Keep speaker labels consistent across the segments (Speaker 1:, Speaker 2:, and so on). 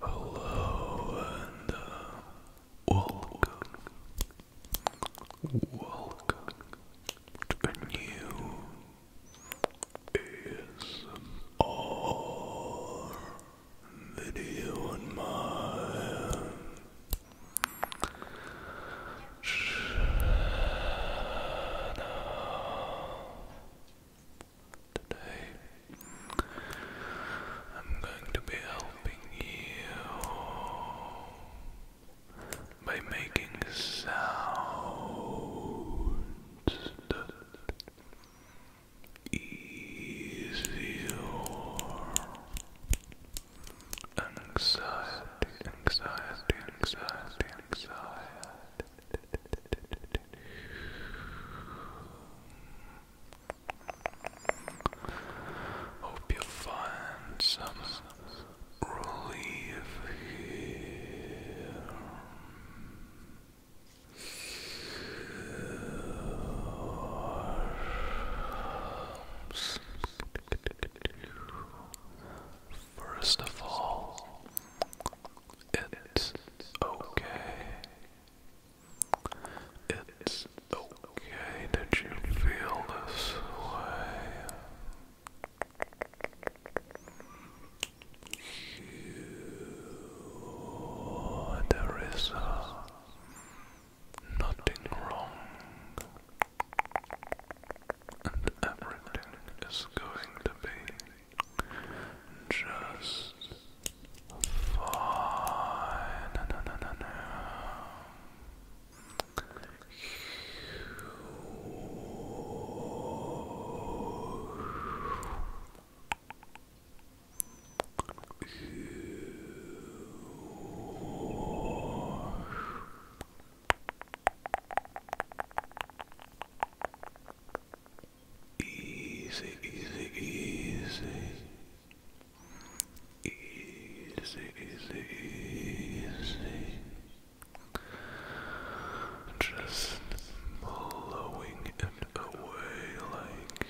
Speaker 1: Hello and welcome, welcome to a new ASMR video on my channel. Today, I'm going to be helping you by making sounds that easier anxiety, anxiety, anxiety, anxiety. Hope you find some relief here. First of all, it's okay. It's okay that you feel this way. there is uh, nothing wrong, and everything is going to be just fine. Easy, easy, easy. Easy, easy, easy. Just blowing it away like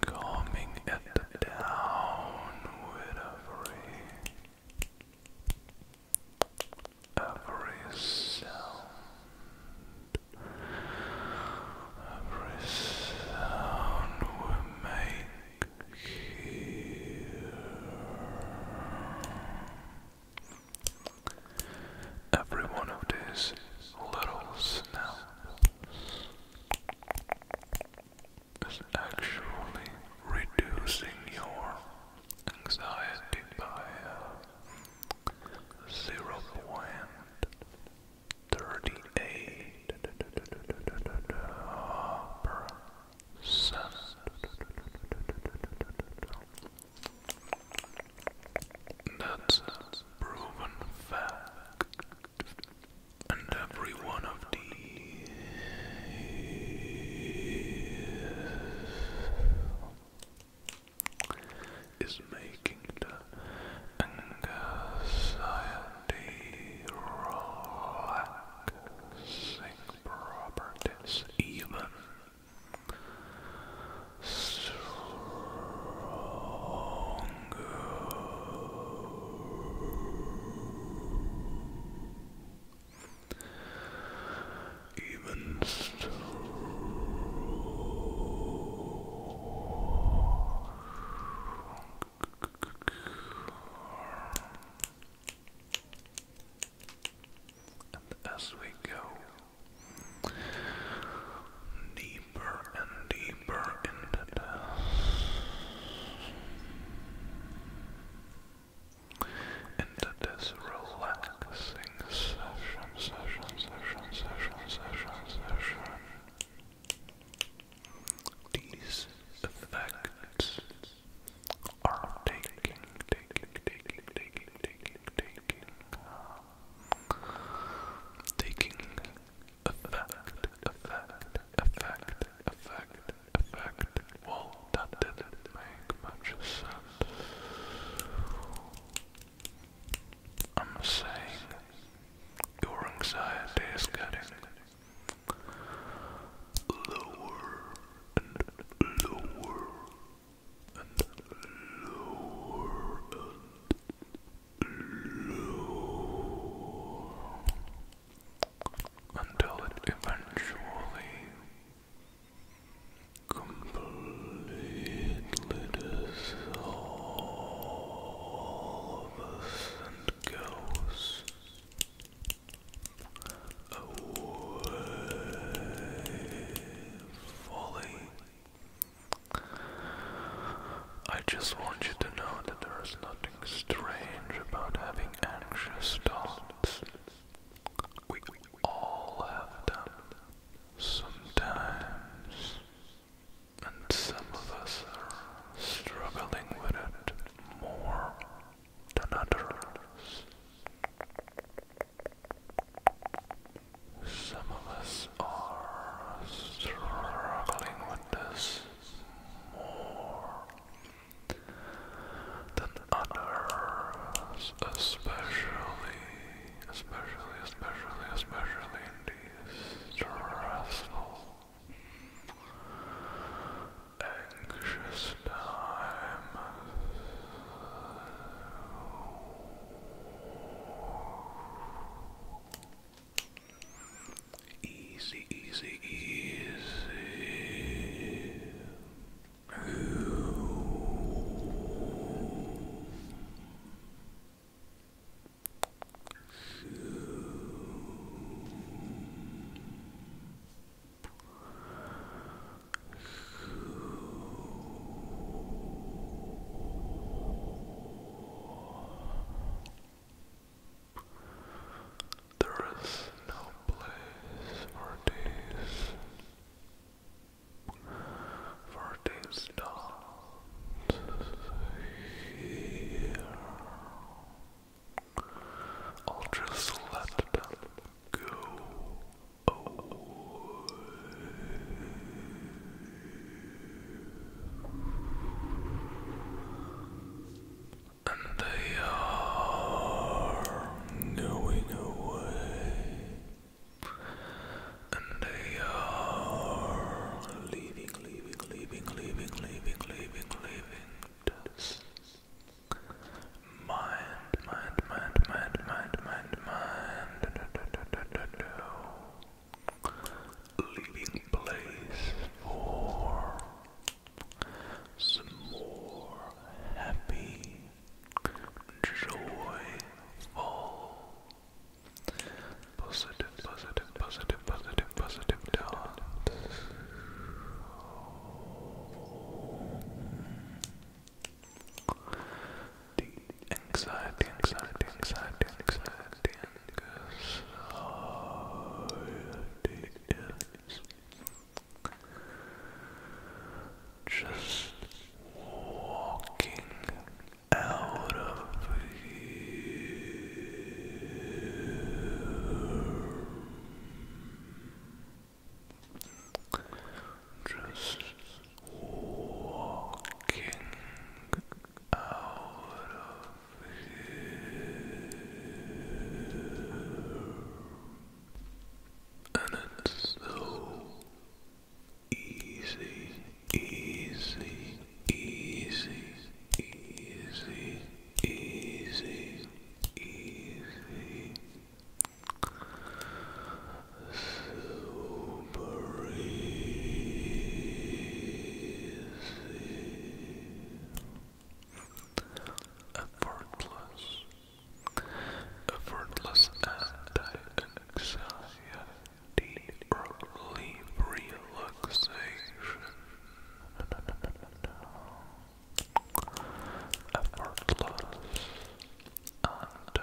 Speaker 1: calming it down with every every sound, every sound we make here. Every one of these little snaps is actually reducing your anxiety by uh, 0.38 percent. That's proven fact and every one of these is making the anxiety relaxing properties even stronger. Even so, and as we go deeper and deeper into this, into this relaxing session, session, session, session, session, session. These effects are taking, taking, taking, taking, taking, taking effect, effect, effect, effect, effect. Well, not make much sense. I'm saying your anxiety is getting lower and lower and lower until it eventually completely dissolves and goes away fully. I just want you to know that there is nothing strange about having anxious thoughts. We all have them sometimes, and some of us are struggling with it more than others. Some of us are struggling with this more than others, especially, especially, especially, especially in these stressful, anxious times. Easy, easy, easy. There is no place for these, for these dots here. I'll just let them go away. And they are going away. And they are leaving, leaving, leaving, leaving, leaving, leaving, leaving. Just mind, mind, mind, mind, mind, mind, mind leaving place for some more happy, joyful, positive, positive, positive, positive, positive dance. anxiety, anxiety, anxiety, anxiety, just walking out of here. Just walking out of and it's so easy, easy, easy, easy, easy, easy. Super easy effortless, effortless anti-anxiety relief relaxation, effortless anti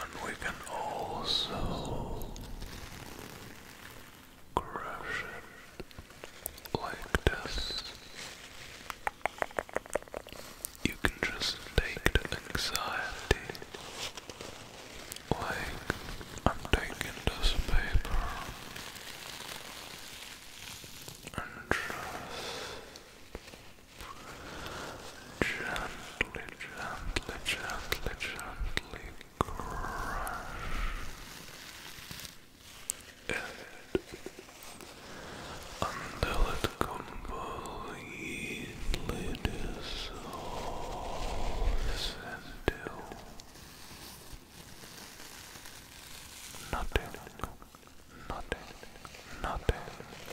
Speaker 1: And we can also crush it like this. You can just take the anxiety like I'm taking this paper and just gently, gently, gently, gently crush it until it completely dissolves into nothing, nothing, nothing,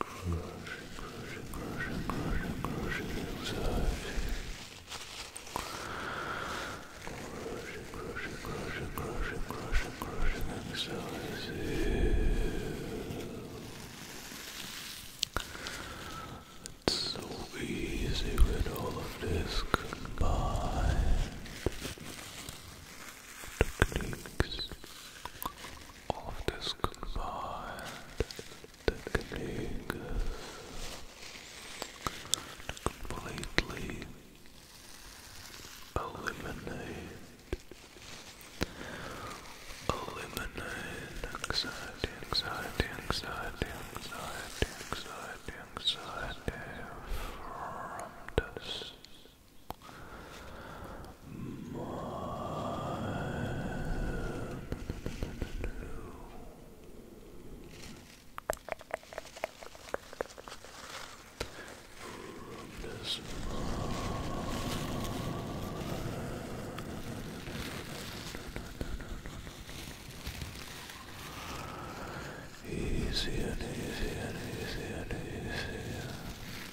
Speaker 1: Crushing, crushing, crushing, crushing, crushing anxiety. Crushing, crushing, crushing, crushing, crushing, crushing anxiety. It's so easy when all of this combined techniques, all of this combined, techniques, completely eliminate, eliminate anxiety, anxiety, anxiety, anxiety, anxiety, anxiety from this. Easy and easy and easy and easy.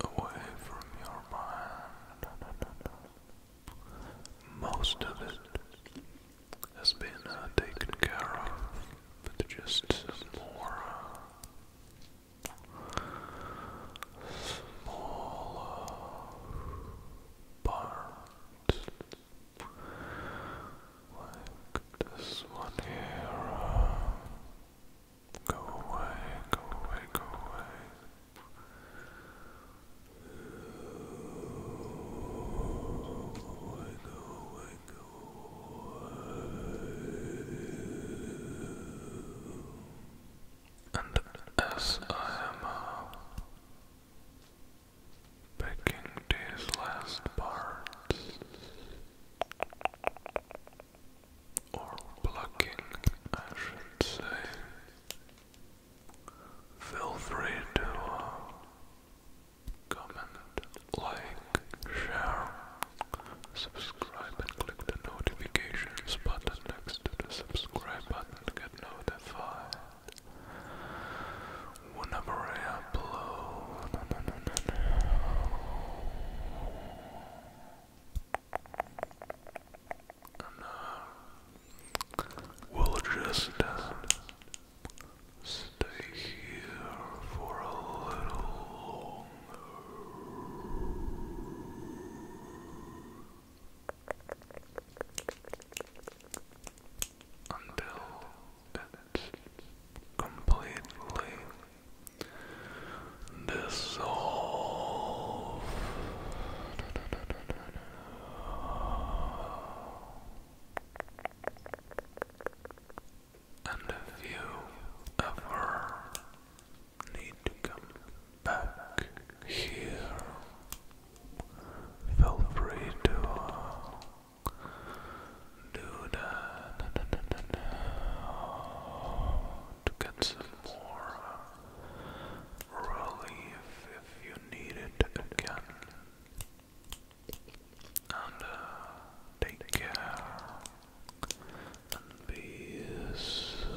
Speaker 1: away from your mind. Most of it has been uh, taken care of, but just some more uh, small uh, parts, Go away, go away, go away. Go away, And as I am uh, picking these last parts or plucking, I should say. Feel free to uh, comment, like, share, subscribe, and click the notifications button next to the subscribe button to get notified whenever I upload we'll just stay here for a little longer until it's completely dissolve. And if you ever need to come back here, feel free to uh, do that to get some more uh, relief if you need it again. And uh, take care and be so.